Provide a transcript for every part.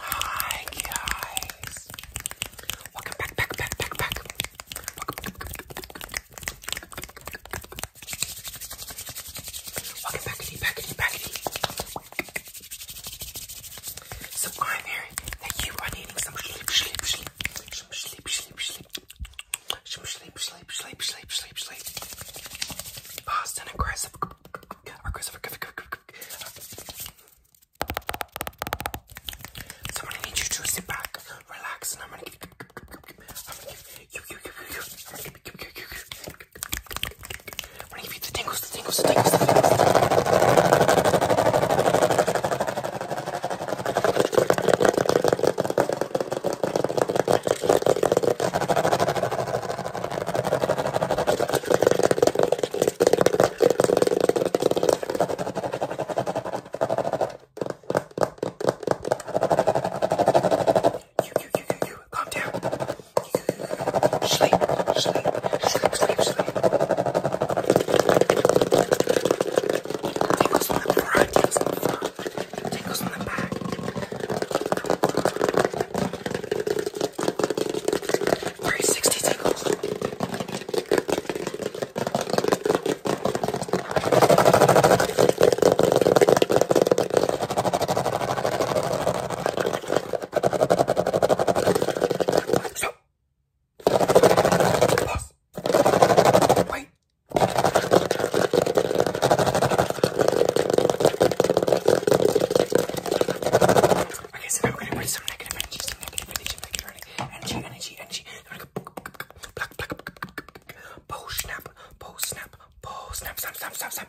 Hi guys. Welcome back, back, back, back, back. Welcome, welcome back to you, back to you, back to you. So I'm hearing that you are needing some sleep, sleep, sleep, some sleep, sleep, sleep, some sleep, sleep, sleep, sleep, sleep, sleep. Fast and aggressive or Christopher. So I'm gonna need you to sit back, relax, and I'm gonna give you. I'm gonna give you, you, you, you, I'm gonna give you, you, you, you. I'm gonna give you the tingles, the tingles, the tingles. The tingles. You, you, you, you, you, calm down. Sleep, sleep, sleep, sleep, sleep. Take us on the variety of Tickles on the back. Three sixty tickles. So. Pause. Wait. Okay, so now we're gonna put some negative energy, some negative energy, negative energy, energy, energy, energy. We're gonna go black, black, bow snap, bow snap, bow snap, snap, snap, snap, snap.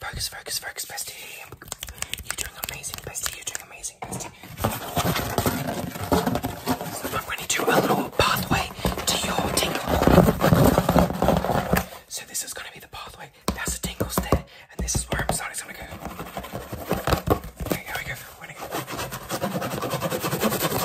Focus, focus, focus, bestie. You're doing amazing, bestie. You're doing amazing, bestie. So I'm going to do a little pathway to your tingle. So this is going to be the pathway. That's the tingles there, and this is where I'm starting. So i go. here we go. We're going to go.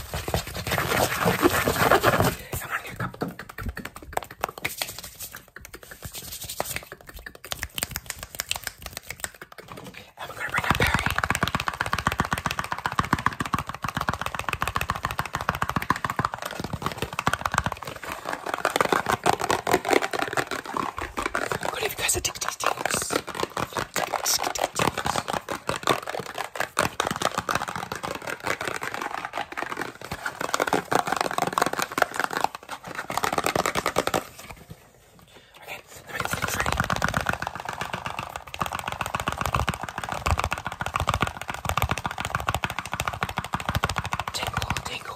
I'm gonna get a cup, cup, cup, cup, cup, cup, cup, cup. And we're gonna bring up Perry. What if you guys are tick tick ticks? Okay, let me get things ready. Tingle, tingle, tingle.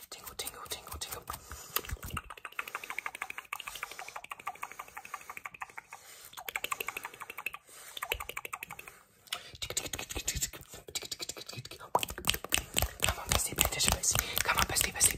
Tingle, tingle, tingle, tingle. Come on, bestie, big tissue, bestie. Come on, bestie, bestie.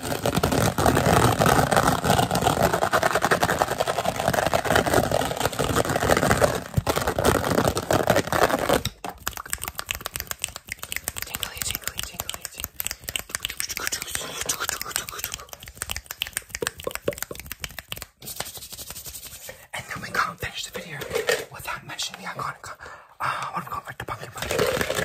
Tingly, tingly, tingly, tingly. And then we can't finish the video without mentioning the iconic, uh, what have we got, like the pumpkin patch.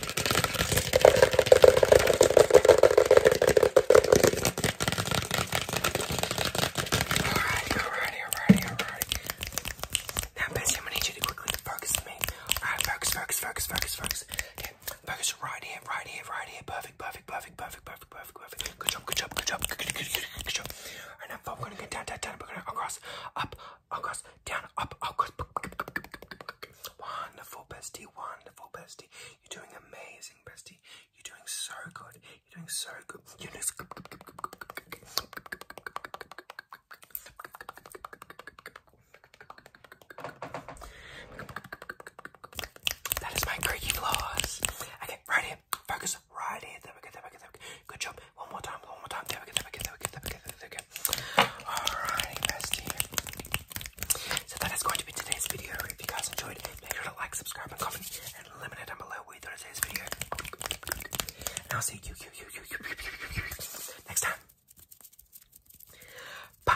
Alright, alright, alright, alright. Now, Bessie, I'm gonna need you to quickly focus on me. Alright, focus, focus, focus, focus, focus. Okay, focus right here, right here, right here. Perfect, perfect, perfect, perfect, perfect, perfect, perfect. Good job, good job, good job, good, good, good, good, good job. Alright, now, we're gonna go down, down, down. We're gonna across, up, across, down, up, across. Wonderful, bestie. Wonderful, bestie. You're doing amazing, bestie. You're doing so good. You're doing so good. That is my creaking laws. Okay, right here. Focus right here. There we go. There we go. There we go. Good job. One more time. One more time. There we go. There we go. There we go. There we go. There we bestie. So that is going to be today's video. If you guys enjoyed, make sure to like, subscribe, and comment, and let me know down below what you thought of today's video. And see you, you next time. Bye.